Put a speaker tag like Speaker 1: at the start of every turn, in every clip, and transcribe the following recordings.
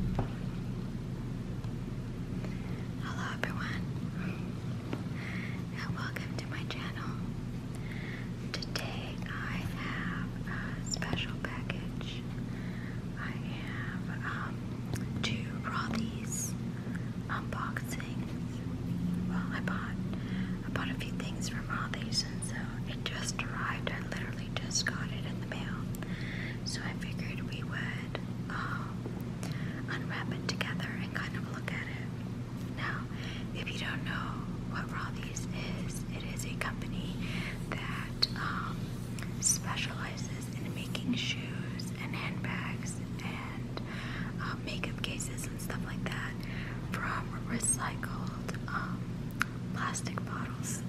Speaker 1: Hello everyone and welcome to my channel. Today I have a special package. I have um, two Rothy's unboxings. Well I bought I bought a few things from Rothy's and so it just arrived. I literally just got it in the mail so I figured we would um, unwrap it together and kind of look at it. Now, if you don't know what Rothy's is, it is a company that um, specializes in making shoes and handbags and um, makeup cases and stuff like that from recycled plastic bottles.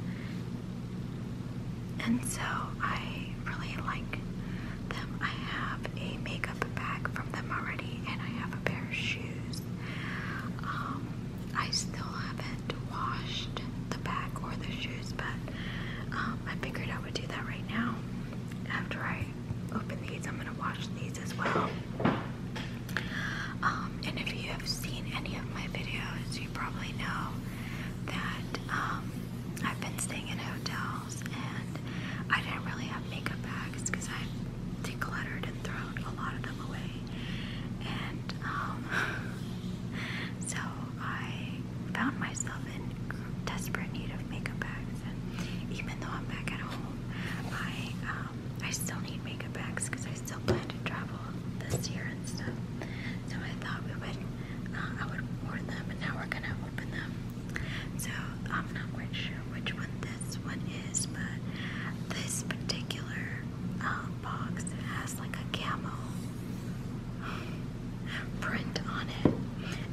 Speaker 1: And so I really like them. I have a makeup bag from them already, and I have a pair of shoes. Um, I still haven't washed the bag or the shoes, but um, I figured I would do that right now. After I open these, I'm going to wash these as well. Um, and if you have seen any of my videos, you probably know that um, I've been staying in hotels and I didn't really have makeup bags because I decluttered and thrown a lot of them away. And um, so I found myself in desperate need of makeup bags. And even though I'm back at home, I um, I still need makeup bags because I still plan travel this year and stuff. So I thought we would, uh, I would warn them, and now we're gonna open them. So I'm not quite sure which one this one is, but this particular uh, box has like a camel print on it.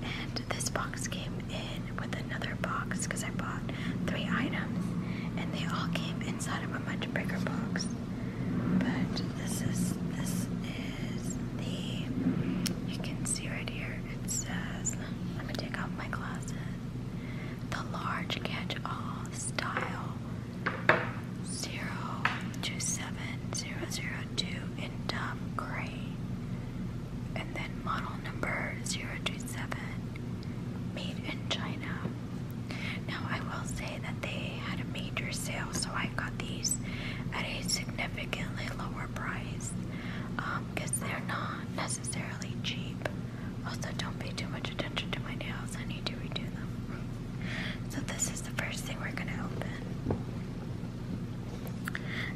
Speaker 1: And this box came in with another box because I bought three items, and they all came in inside of a bunch of bigger box. But this is this is the you can see right here it says let me take off my glasses. The large catch-all style zero two seven zero zero two in dumb gray. And then model number zero two seven, made in China. Now, I will say that they had a major sale, so I got these at a significantly lower price because um, they're not necessarily cheap. Also, don't pay too much attention to my nails, I need to redo them. So, this is the first thing we're going to open.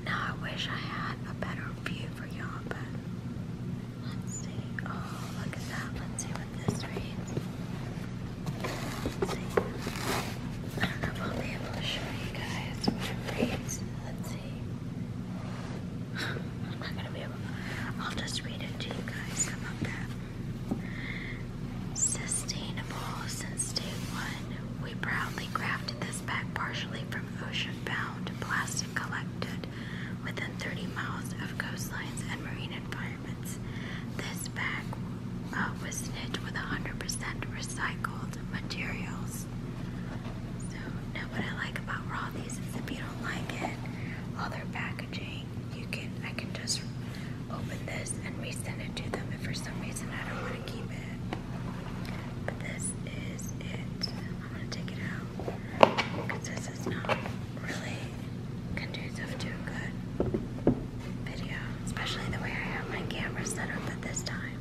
Speaker 1: Now, I wish I had a better view for y'all, but let's see. Oh, look at that. Let's see what this reads. I don't know if be able to show you guys what it Let's see. I'm not gonna be able I'll just read it to you guys. about that? Sustainable since day one, we proudly crafted this bag partially from ocean-bound plastic collected within 30 miles of coastlines and marine environments requirements. This bag uh, was knit with 100% recycled materials. So, now what I like about Rothy's is if you don't like it, all packaging, you can I can just open this and resend it to them if for some reason I don't want to keep it. But this is it. I'm gonna take it out because this is not really conducive to a good video, especially the way I have my camera set up at this time.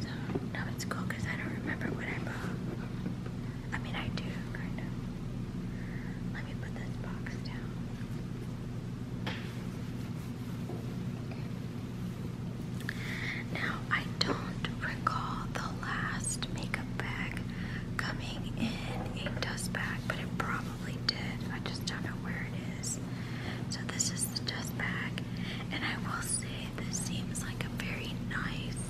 Speaker 1: So, no, it's cool because I don't remember what I bought. I mean, I do, Let me put this box down. Now, I don't recall the last makeup bag coming in a dust bag, but it probably did. I just don't know where it is. So this is the dust bag, and I will say this seems like a very nice,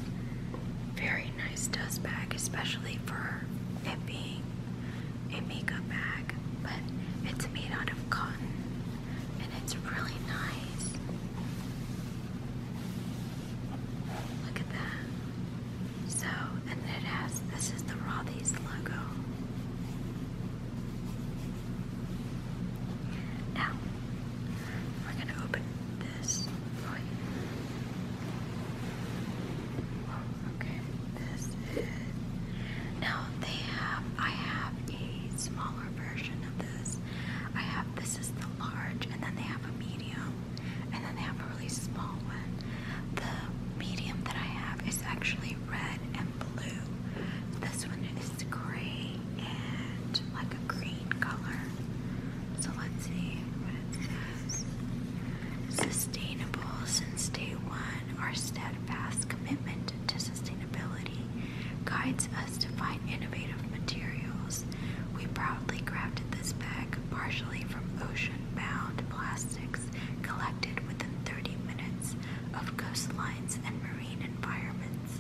Speaker 1: very nice dust bag, especially for it being a makeup bag. But it's made out of cotton, and it's really nice. Look at that. So, and it has this is the Rothy's logo. Now, we're going to open this. okay. This is. Now, they have. I have a smaller version of this. I have. This is the large, and then they have a medium and then they have a really small one. The medium that I have is actually red and blue. This one is gray and like a green color. So let's see what it says. Sustainable since day one, our steadfast commitment to sustainability guides us to find innovative materials. We proudly crafted this bag partially from ocean bound plastics collected within 30 minutes of coastlines and marine environments.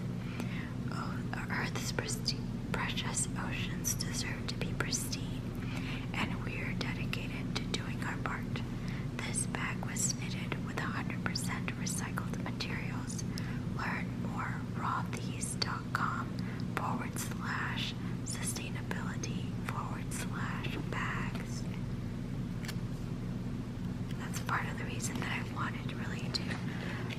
Speaker 1: Oh, Earth's precious oceans deserve to be pristine, and we are dedicated to doing our part. This bag was knitted with 100% recycled materials. Learn more rawthese.com slash sustainability forward slash bags. That's part of the reason that I wanted really to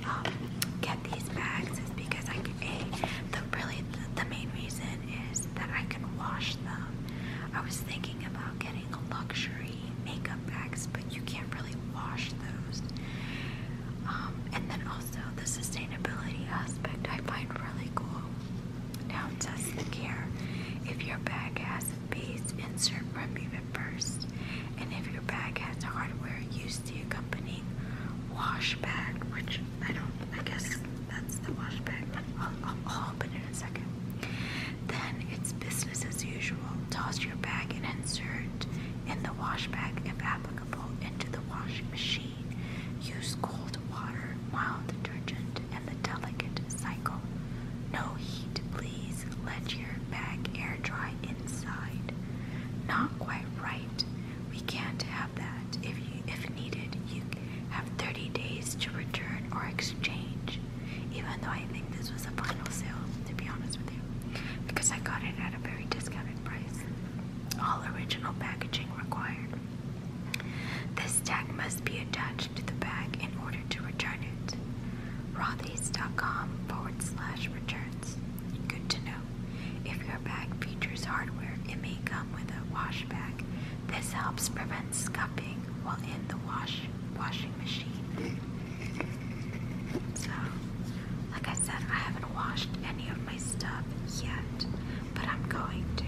Speaker 1: um, get these bags is because I can, a, the really the, main reason is that I can wash them. I was thinking about getting luxury makeup bags, but you can't really wash those. Um, and then also the sustainability aspect I find really cool. Now test the gear. If your bag has a piece, insert, remove it first. And if your bag has hardware used to accompanying wash bag, which I don't, I guess that's the wash bag, but I'll open it in a second. Then it's business as usual. Toss your bag and insert in the wash bag if applicable into the washing machine. Use cold water, mild detergent, and the delicate cycle. No heat, please. Let your bag air dry inside. Not quite right. We can't have that. If you, if needed, you have 30 days to return or exchange. Even though I think this was a final sale, to be honest with you, because I got it at a very discounted price. All original packaging required. This tag must be attached to the bag in order to return it. Rothy's.com returns. Good to know. If your bag features hardware, it may come with a wash bag. This helps prevent scuffing while in the wash washing machine. So, like I said, I haven't washed any of my stuff yet but I'm going to.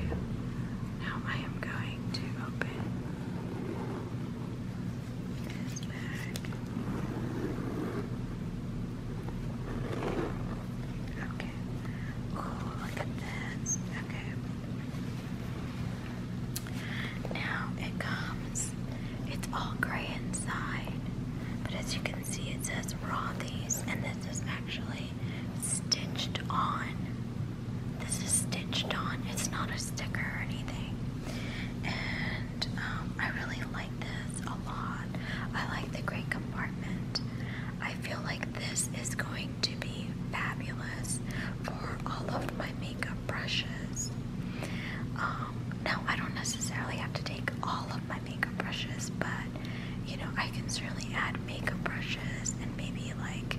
Speaker 1: Now I am going to open this bag. Okay. Oh, look at this. Okay. Now it comes. It's all gray inside, but as you can see, it says raw these, and this is actually stitched on. This is stitched on. It's not a sticker or anything. And um, I really like this a lot. I like the great compartment. I feel like this is going to be fabulous for all of my makeup brushes. Um, now, I don't necessarily have to take all of my makeup brushes, but you know, I can certainly add makeup brushes and maybe like,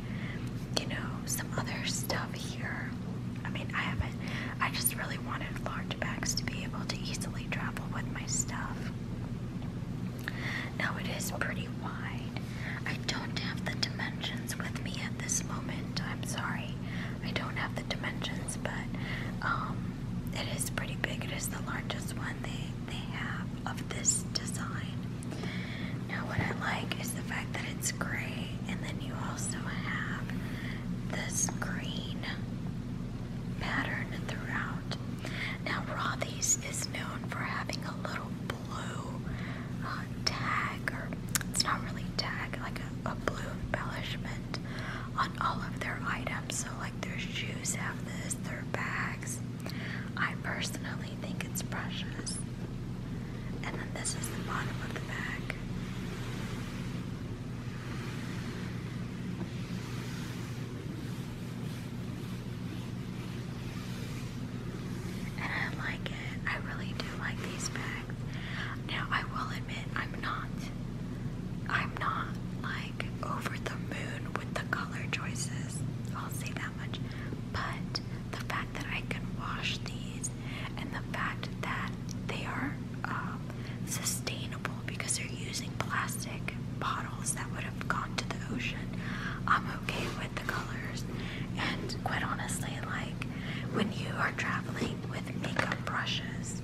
Speaker 1: you know, some other stuff here. I mean, I haven't, I just really wanted large bags to be able to easily travel with my stuff. Now it is pretty wide. I don't have the dimensions with me at this moment. I'm sorry. I don't have the dimensions, but um, it is pretty big. It is the largest one. They they have of this design. Now what I like is the fact that it's gray and then you also have this green pattern throughout. Now Rothy's is known for having a little blue uh, tag or it's not really tag, like a blue embellishment on all of their items. So like their shoes have this, their bags, I personally think it's precious. And then this is the bottom of the bag. I like it. I really do like these bags. Now I will admit I'm not I'm not like over the moon with the color choices. I'll say that much. But the fact that I can wash these and the fact that they are um, sustainable because they're using plastic bottles that would have gone to the ocean, I'm okay with the colors. And quite honestly, like when you are traveling with makeup brushes,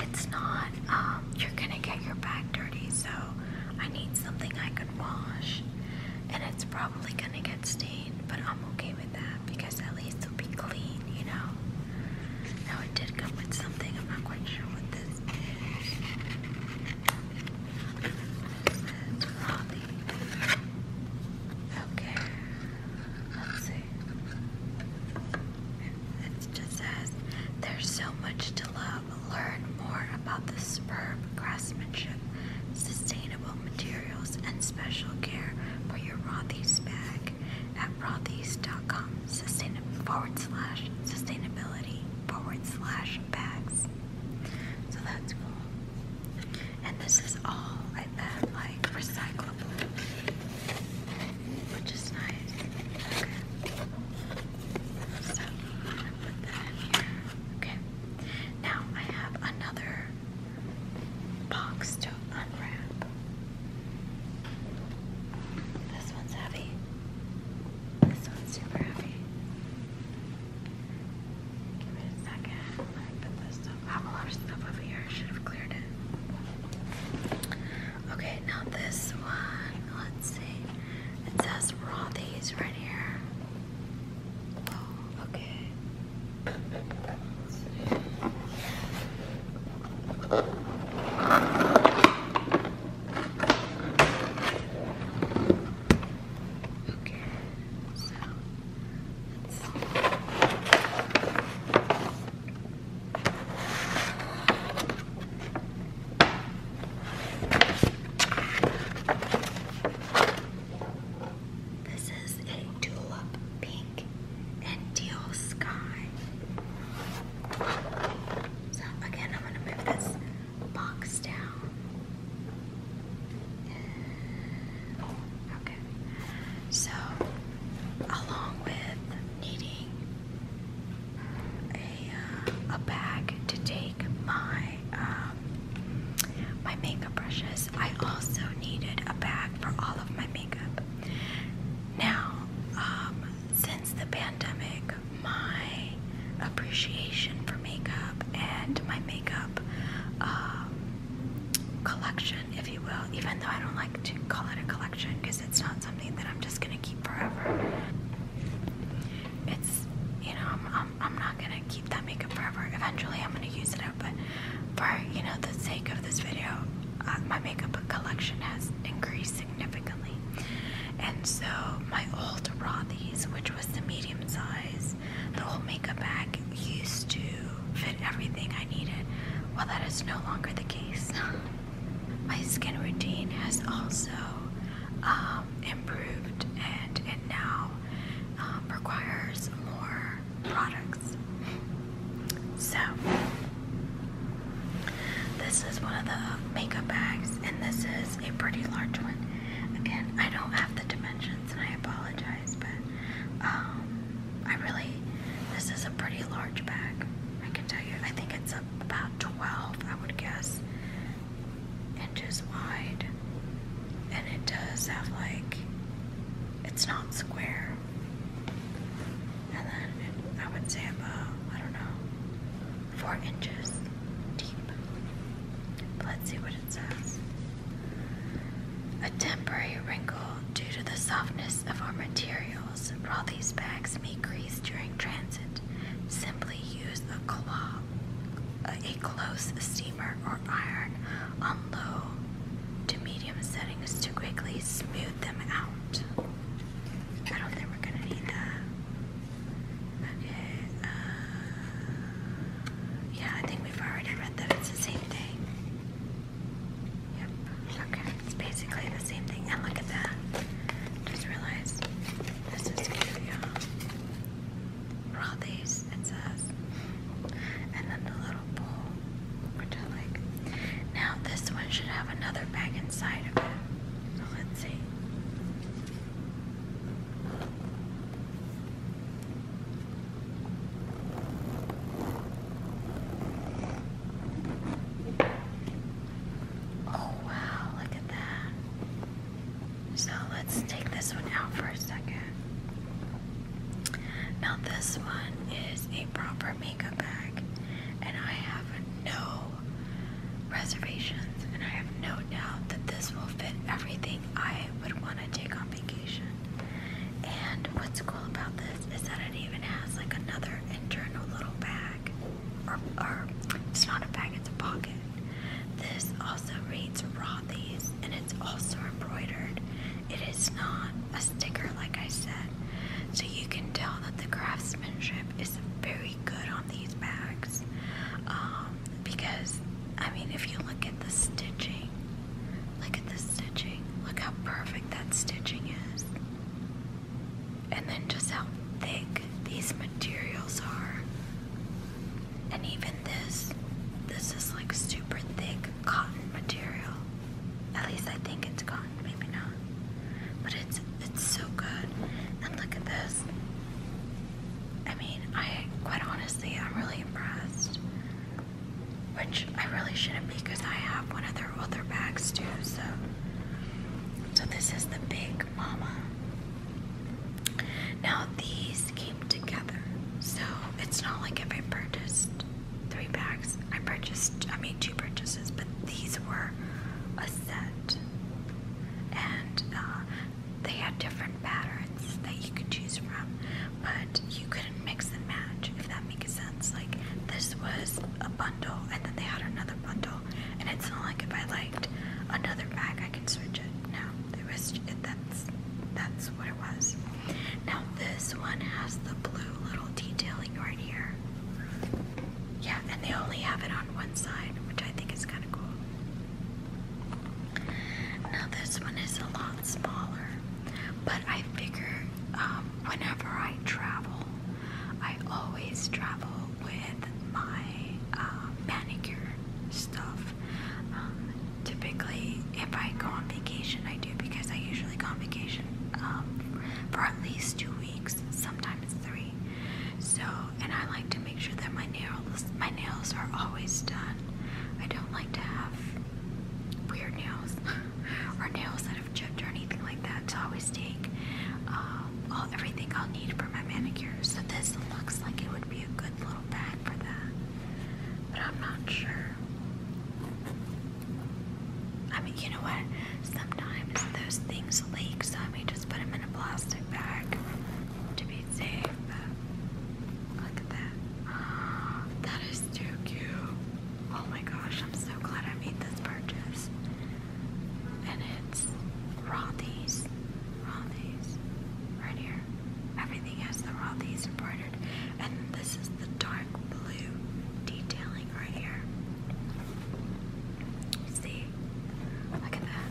Speaker 1: it's not, um, you're gonna get your back dirty, so I need something I can wash. And it's probably gonna get stained, but I'm okay with that because at least it'll be clean, you know? Now it did come with something, I'm not quite sure what this is. Okay, let's see it just says, There's so much to love. Learn more about the superb craftsmanship, sustainable materials, and special care for your Rothy's bag at Rothy's.com sustainable forward slash sustainability forward slash bags. So that's cool. And this is all I bet like recyclable which is nice. Now I have another box to unwrap. This one's heavy. This one's super heavy. Give me a second. I have a lot of stuff over here. I should have cleared it. Okay, now this one, let's see. It says raw these right here. Oh, okay. Okay, so let's see. This is a tulip pink and teal sky. So again, I'm going to move this box down. Okay, so along with needing a, bag to take my um, my makeup brushes. I also needed a bag for all of my makeup. Now, um, since the pandemic, my appreciation for makeup and my makeup um, collection, if you will, even though I don't like to call it a collection because it's not something that I'm just gonna keep forever. It's you know I'm not gonna keep that makeup forever. Eventually I'm gonna use it up, but for you know the sake of this video, uh, my makeup collection has increased significantly, and so my old Rothy's, which was the medium size, the old makeup bag used to fit everything I needed. Well, that is no longer the case. my skin routine has also um, improved and it now um, requires more products. So, this is one of the makeup bags, and this is a pretty large one. Again, I don't have the dimensions and I apologize, but um, I really, this is a pretty large bag. I can tell you, I think it's a about 12, I would guess, inches wide. And it does have like, it's not square. And then I would say about, I don't know, 4 inches deep. let's see what it says. A temporary wrinkle due to the softness of our material while these bags may grease during transit, simply use a claw, a close steamer or iron on low to medium settings to quickly smooth them out. I don't think we're gonna need that. Okay, uh, yeah, I think we've already read that it's the same thing. Yep. Okay. It's basically the same thing. And look at that. Just realized this is Rothy's, it says. And then the little bowl, which I like. Now this one should have another bag inside of it. So let's see. Oh wow, look at that. So let's take this one out for a second. Now this one is a proper makeup bag and I have no reservations and I have no doubt that this will fit everything I would want to take on vacation. And what's cool about this is that it even has like another internal little bag it's not a bag, it's a pocket. This also reads Rothy's and it's also embroidered. It is not a sticker, like I said. So you can tell that the craftsmanship is very good on these bags. Um, because, I mean, if you look at the stitching, look at the stitching, look how perfect that stitching is and then just how thick these materials are. And even this, this is like super thick cotton material. At least I think it's cotton, maybe not. But it's it's so good. And look at this. I mean, I quite honestly, I'm really impressed. Which I really shouldn't be because I have one of their other bags too, so so this is the Big Mama. Now these came together, so it's not like if I purchased three bags, I purchased, I made two purchases, but these were a set. And uh, they had different patterns that you could choose from, but you couldn't mix and match, if that makes sense. Like this was a bundle, and then they had another bundle, and it's not like if I liked another bag I can switch it. No, that's that's what it was. Now this one has the blue little detailing right here. Yeah, and they only have it on one side, which I think is kind of cool. Now this one is a lot smaller, but I figure um, whenever I travel, I always travel with my uh, manicure stuff. Um, typically, if I go on vacation, I do because I usually go on vacation um, for at least two weeks, sometimes three. So, and I like to make sure that my nails, my nails are always done. I don't like to have weird nails or nails that or anything like that. So I always take um, all everything I'll need for my manicure. So this looks like it would be a good little bag for that, but I'm not sure. I mean, you know what? Sometimes those things leak, so I may just put them in a plastic bag to be safe. look at that. That is too cute. Oh my gosh, I'm so glad I made this purchase. And it's Rothy's. Rothy's. Right here. Everything has the Rothy's embroidered. And this is the dark blue detailing right here. See? Look at that.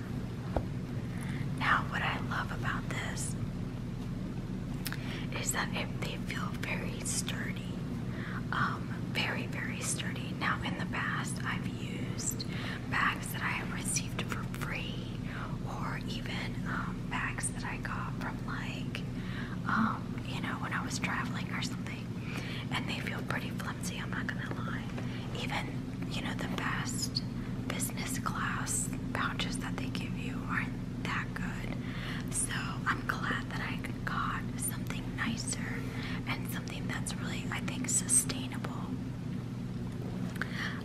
Speaker 1: Now, what I love about this is that they feel very sturdy, um, very, very sturdy. Now, in the past, I've used bags that I have received for free, or even um, bags that I got from, like, um, you know, when I was traveling or something, and they feel pretty flimsy. I'm not gonna lie. Even you know, the best business class pouches that they give you aren't that good. So I'm glad that I got something nicer and something that's really, I think, sustainable.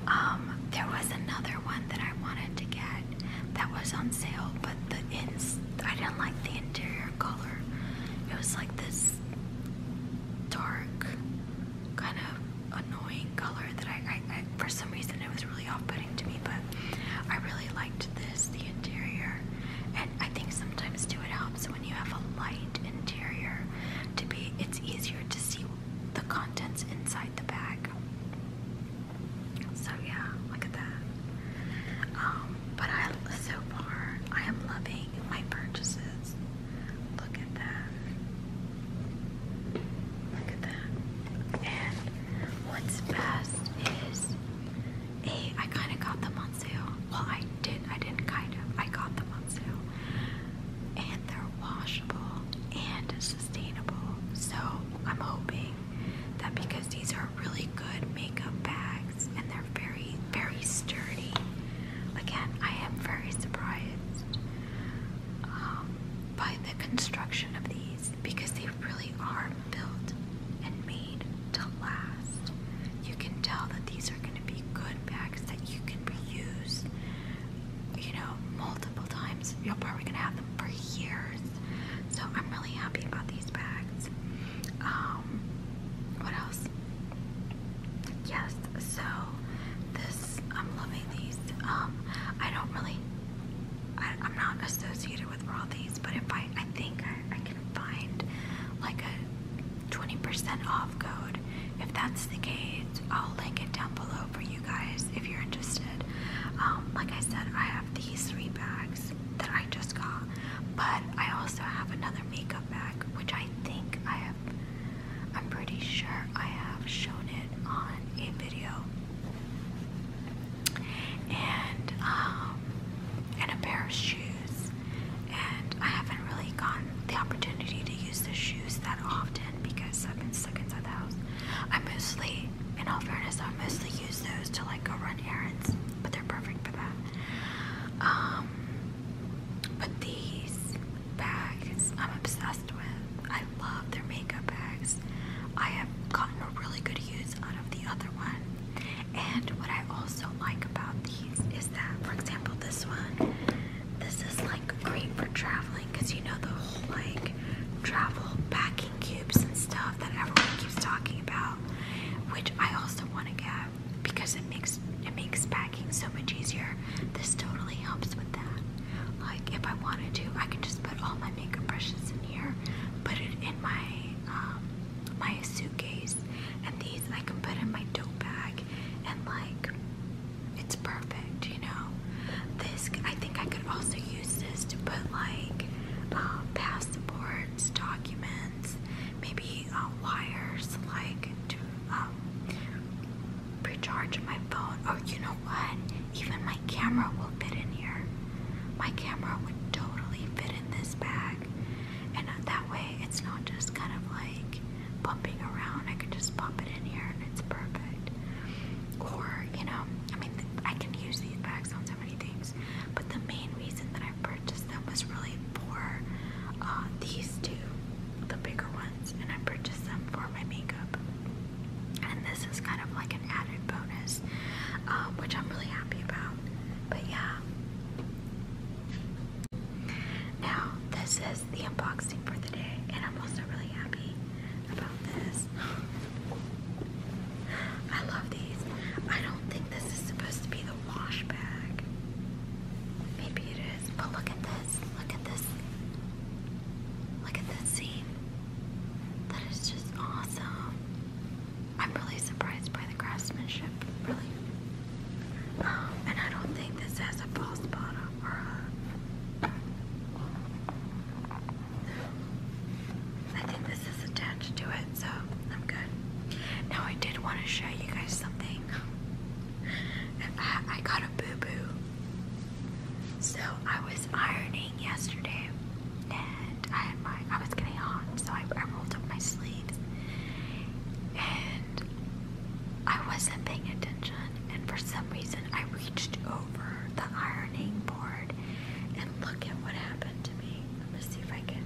Speaker 1: Um, there was another one that I wanted to get that was on sale, but the ins I didn't like the interior color. It was like this dark kind of annoying color that I, for some reason it was really off-putting to me, but I really liked this, the interior. And I think sometimes too it helps when you have a light interior to be it's easier to see the contents inside the bag. So yeah, look at that. Um, but so far I am loving my purchases. Look at that. Look at that. And what's best is a I kinda got them on sale. Well I did I didn't kinda. I got them on sale. And they're washable and sustainable. So I'm hoping that because these are really good makeup bags and they're very, very sturdy, Again, I am very surprised um, by the construction of these because they really are built and made to last. You can tell that these are going to be good bags that you can reuse, you know, multiple times. You're probably going to have them for years. So I'm really happy about these bags. Um, what else? Yes, so this, I'm loving these. Um, I don't really, I, am not associated with all these, but if I, I think I, I can find like a 20% off code. If that's the case, I'll link it down below for you guys if you're interested. Um, like I said, I have these three bags that I just got, but I also have another makeup bag, which I think I have I'm pretty sure I have shown it on a video. And um and a pair of shoes. And I haven't really gotten the opportunity to use the shoes that often because I've been stuck inside the house. I mostly, in all fairness, I mostly use those to like go run errands, but they're perfect for that. Um, but these bag. I'm obsessed with. I love their makeup bags. I have gotten a really good use out of the other one. And what I also like about these is that, for example, this one, this is like great for traveling because you know the whole like travel packing cubes and stuff that everyone keeps talking about, which I also want to get because it makes it makes packing so much easier. This totally helps with that. Like if I wanted to, I can just put all my makeup brushes in here, put it in my um, my suitcase, and these I can put in my tote bag, and like it's perfect, you know. This I think I could also use this to put like um, passports, documents, maybe uh, wires, like to um, recharge my phone. Or oh, you know what? Even my camera will fit in here. My camera would totally fit in this bag. And uh, that way it's not just kind of like bumping around. I can just pop it in here and it's perfect. Or, you know, I mean, I can use these bags on so many things. But the main reason that I purchased them was really for uh, these two, the bigger ones and I purchased them for my makeup. And this is kind of like an added bonus, um, which I'm really happy about. But yeah. Now, this is the unboxing for the day, and I'm also really happy about this. I love these. I don't think this is supposed to be the wash bag. Maybe it is. But look at this. Look at this. Look at this scene. That is just awesome. I'm really surprised by the craftsmanship, really. Um, and I don't think this has a false bottom or a. I think this is attached to it, so I'm good. Now, I did want to show you guys something. I got a boo boo. So I was ironing yesterday, and I was getting hot, so I, rolled up my sleeves, and I wasn't paying attention. And for some reason, I reached over the ironing board, and look at what happened to me. Let me see if I can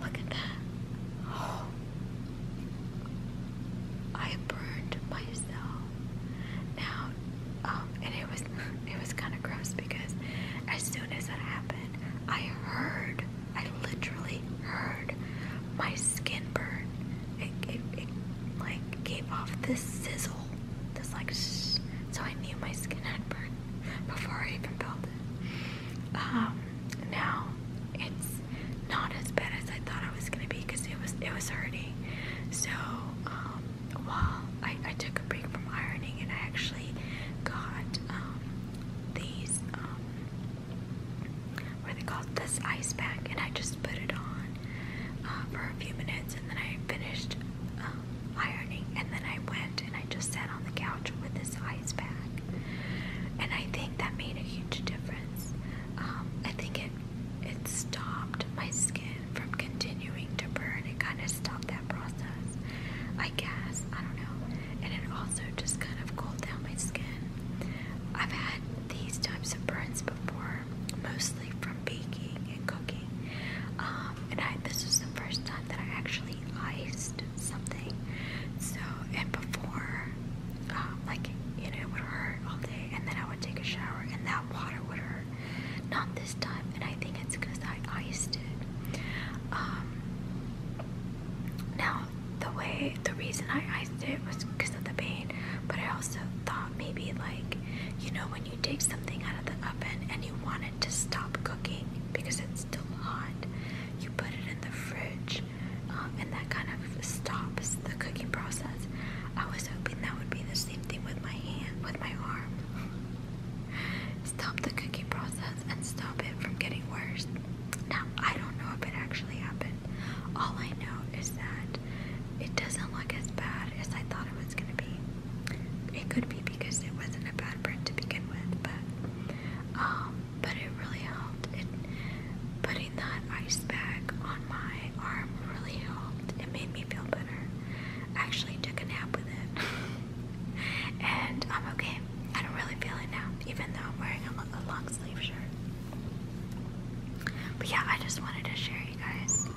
Speaker 1: look at that. Oh. I burned myself. Now, um, and it was it was kind of gross because as soon as that happened, I heard, I literally heard my skin burn. It, it, like gave off this sizzle, this like So I knew my skin had burned before I even felt it. Um, now it's not as bad as I thought I was gonna be because it was it was hurting. So um, while I, took a break from ironing and I actually got um, these um, they called? This ice pack, and I just put it on uh, for a few minutes, and then I finished um, ironing, and then I went and I just sat on the couch with this ice pack and I think that made a huge difference. Um, I think it it stopped my skin from continuing to burn. It kind of stopped that process, I guess. I don't know. And it also just kind of cooled down my skin. I've had these types of burns before, mostly from baking and cooking. Um, and I, this was the first time that I actually iced something. So, and before um, like you know, it would hurt all day, and then I would take a shower, and that water would hurt. Not this time, and I think it's because I iced it. Um, now, the way, the reason I iced it was because of the pain, but I also thought maybe like, you know, when you take something out of the oven and you want it to stop cooking because it's still hot, you put it in the fridge um, and that kind of stops the cooking process. I was hoping that would be the same thing with my hand, with my arm. stop the cooking process and stop it from getting worse. Now, I don't know if it actually happened. All I know is that it doesn't look as bad as I thought it was going to be. It could be because it wasn't a bad bread to begin with, but um, but it really helped. It, but that ice bag on my arm really helped. It made me feel better. I actually took a nap with it. and I'm okay. I don't really feel it now, even though I'm wearing a, long sleeve shirt. But yeah, I just wanted to share you guys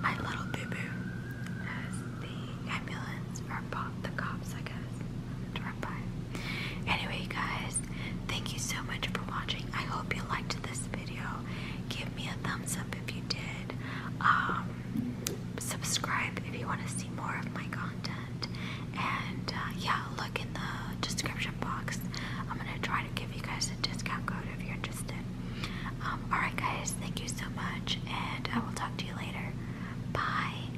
Speaker 1: my little boo boo the ambulance or the cops, I guess, Anyway, guys, thank you so much for watching. I hope you liked this video. Give me a thumbs up if you did. Um, subscribe if you want to see more of my content. And uh, yeah, look in the description box. I'm gonna try to give you guys a discount code if you're interested. Um, alright, guys, thank you so much, and I will talk to you later. Bye.